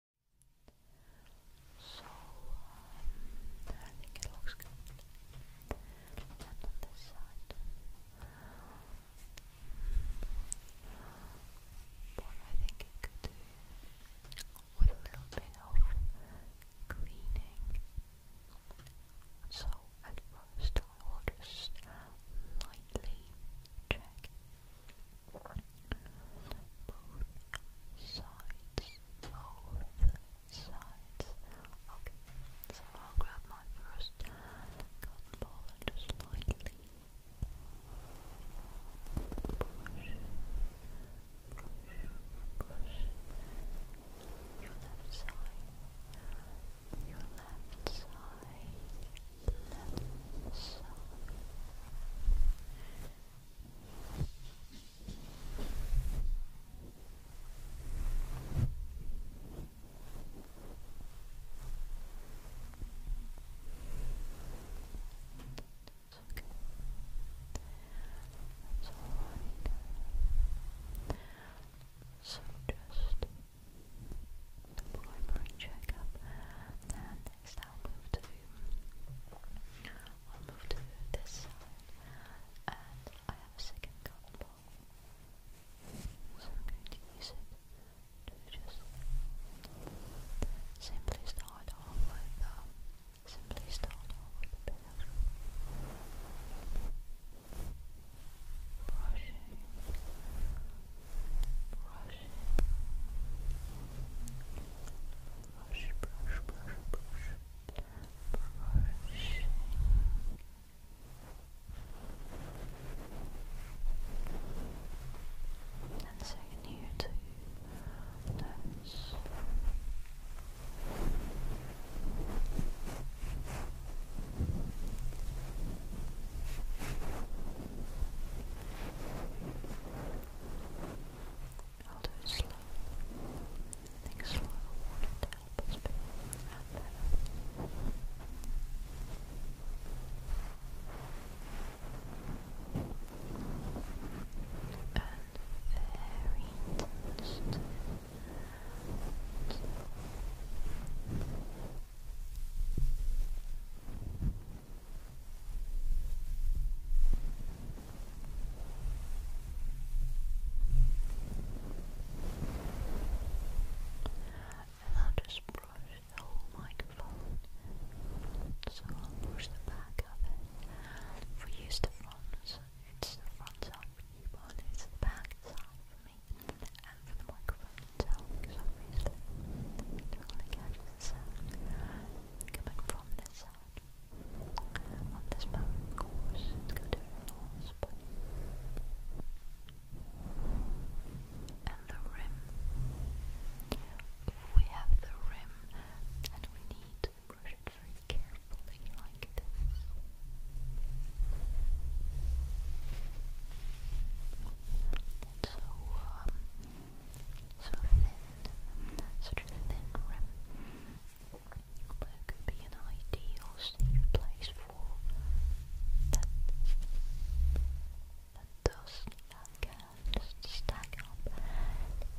So, um, I think it looks good. And on this side. What I think it could do with a little bit of cleaning. So, at first, I will just lightly check both sides. Both sides. Okay, so I'll grab my first cotton ball and just lightly brush, brush, brush your left side, your left side, left side, that's okay. So just the primary checkup and Let's now move to we move to this side and I have a second cotton So I'm going to use it to just simply start off with um, simply start off with a bit brush, brush, brush, brush, brushing. And second here to nose. Brushing, I'll do slow. think slow water to And very intense. And I'll just brush the whole microphone. So I'll brush the back of it. If use the front, so it's the front side for you, the back side for me. And for the microphone itself, because is coming from this side. On this part, course, it's going to be lost, but and the rim. We have the rim, and we need to brush it very carefully, like this. so, so thin, such a thin rim, but could be an ideal safe place for that, that dust that can stack up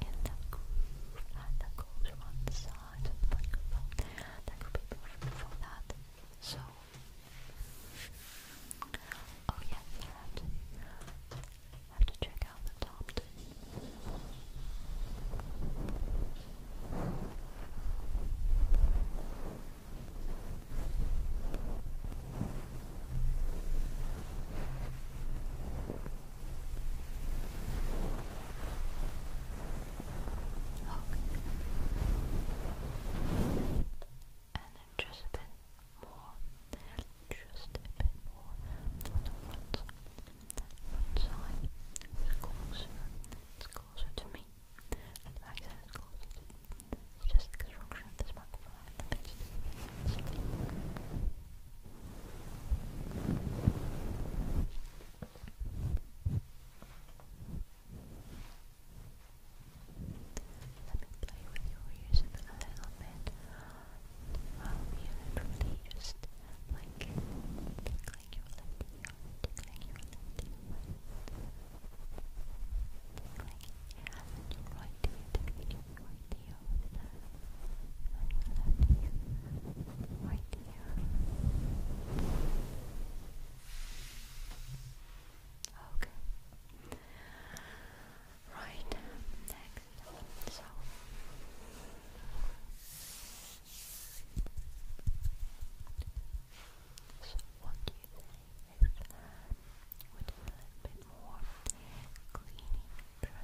in that groove that goes one side of the microphone. That could be perfect for that. So, oh yes, have to check out the top two. Okay and then just a bit more, just a bit more on the side, it's closer, it's closer to me, and the back side closer it's just the construction of this microphone and the base. Let me play with your ears a little bit while we literally just like tickling your left ear, tickling your left ear, tickling and your right ear, tickling your right ear with the and your left ear, right ear. Okay. Right, next. So what you think if a little bit more cleaning just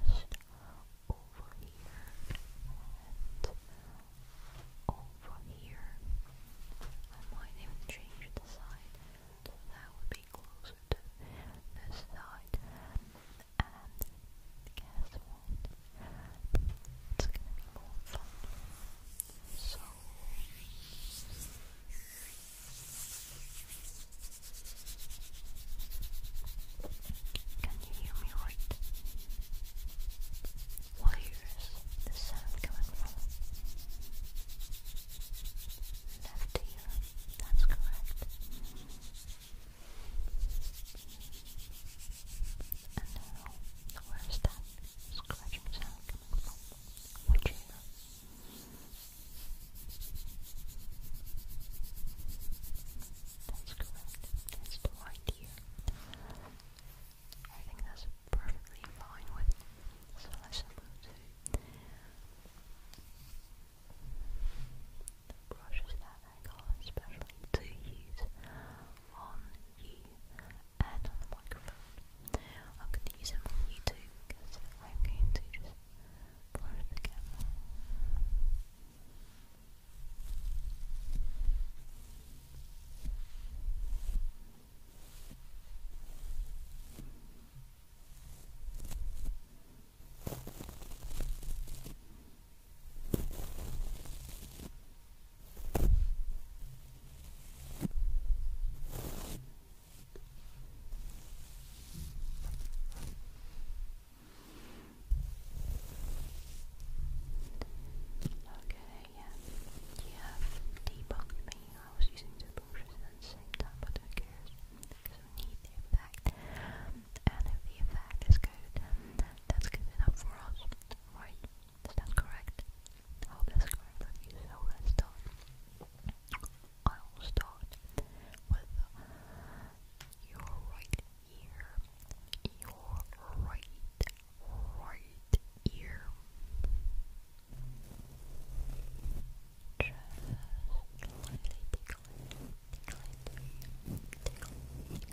over here and over here? I might even change the side so that would be way closer to this side. And guess what? It's gonna be more fun. So can you hear me right? Where is the sound coming from? Left ear, that's correct. And now, where is that scratching sound coming from? That's correct. That's the right ear. I think that's perfectly fine with. So let the brushes that I got especially to use on you and on the microphone. I'm going to use them on you too I'm going to just blur the camera. Okay, yeah, you have debunked me. I was using two brushes at the same time, but who cares? Because we need the effect. And if the effect is good, that's good enough for us, right? Is that correct? I hope that's correct so let's start. I'll start with your right ear. Your right, Right ear, not talking about again.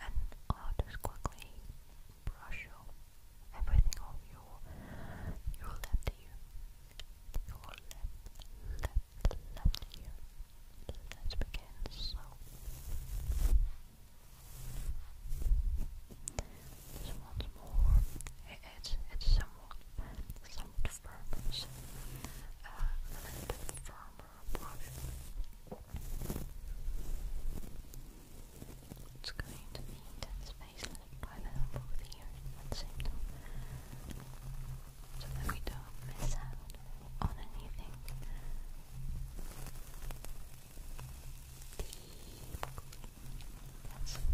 And all just quickly brush off everything off your your left ear. Your left, left, left ear. Let's begin. So so once more, it's it's somewhat somewhat firmer, uh, a little firmer brush. It's going to be intense space left by the both here at the So that we don't miss out on anything. Deep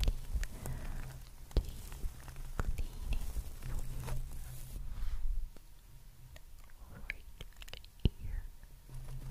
cleaning. deep. Deep cleaning. Right ear.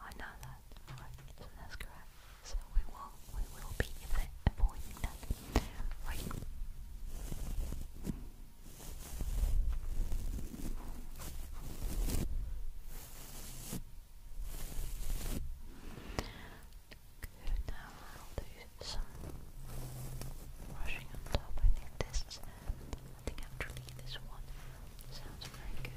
I know that. so that's correct. So we will we will be avoiding that. Right. now I'll do some brushing on top. I this I think actually this one sounds very good.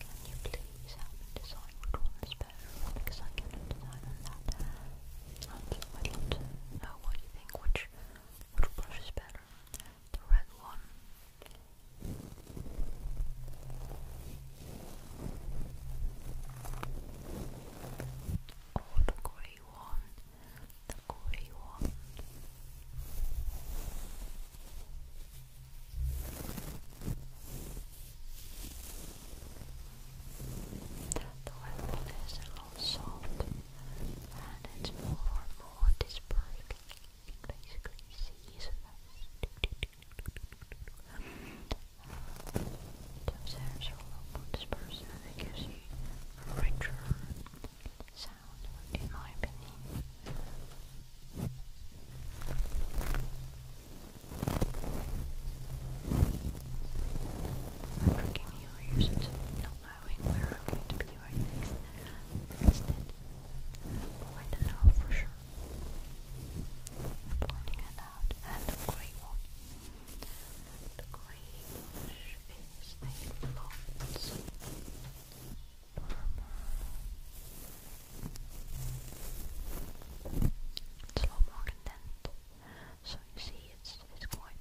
Can you please help me decide which one is better? Because I cannot decide on that. I'd love to know what you think, which, which brush is better? The red one. Or the grey one. The grey one. The weapon is a and it's more and more dispersed. You can those hairs are more dispersed and it gives you richer sound in my opinion. I'm working you not knowing where I'm going to be right next. Instead, I don't know for sure. pointing it out, and the grey one. The grey is a blonde firmer. It's a lot more condensed. So you see it's quite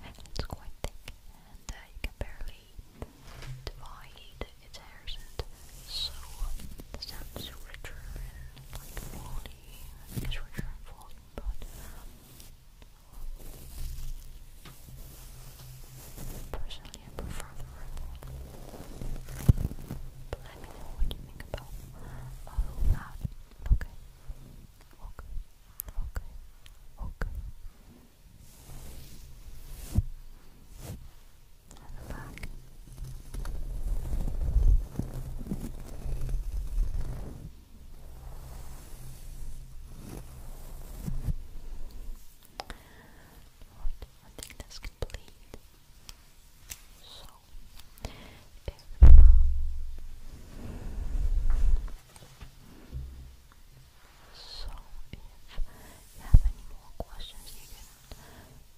it's quite thick and uh, you can barely divide its hairs and so um, richer and like quality is richer and full but Personally, I prefer the red one. But let me know what you think about all that. Okay. Okay. Okay. Okay. And the back. Alright, I think that's complete. So, if, you have any more questions, you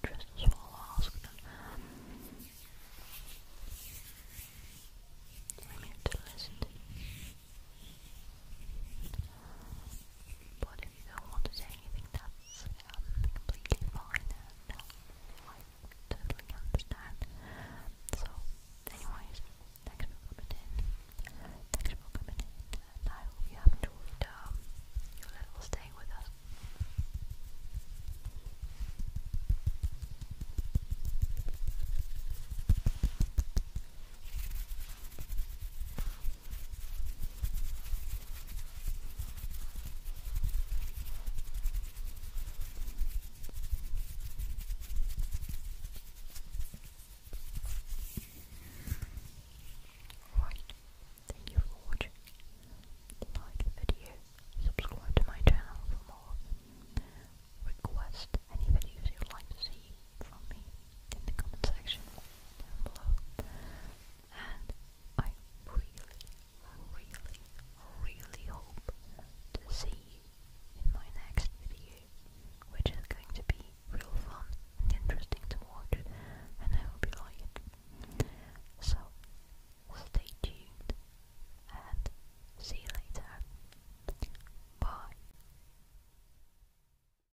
can just as well ask them. I'm to listen. But if you don't want to say anything, that's um, fine um, I totally understand. So, anyways, thanks for coming in. Thanks for coming in, and I hope you enjoyed um, your little stay with us. Right, thank you for watching. Like the video, subscribe to my channel for more. Request any videos you'd like to see from me in the comment section. And I really, really, really hope to see you in my next video, which is going to be real fun and interesting to watch, and I hope you like it. So, stay tuned and see you later. Bye.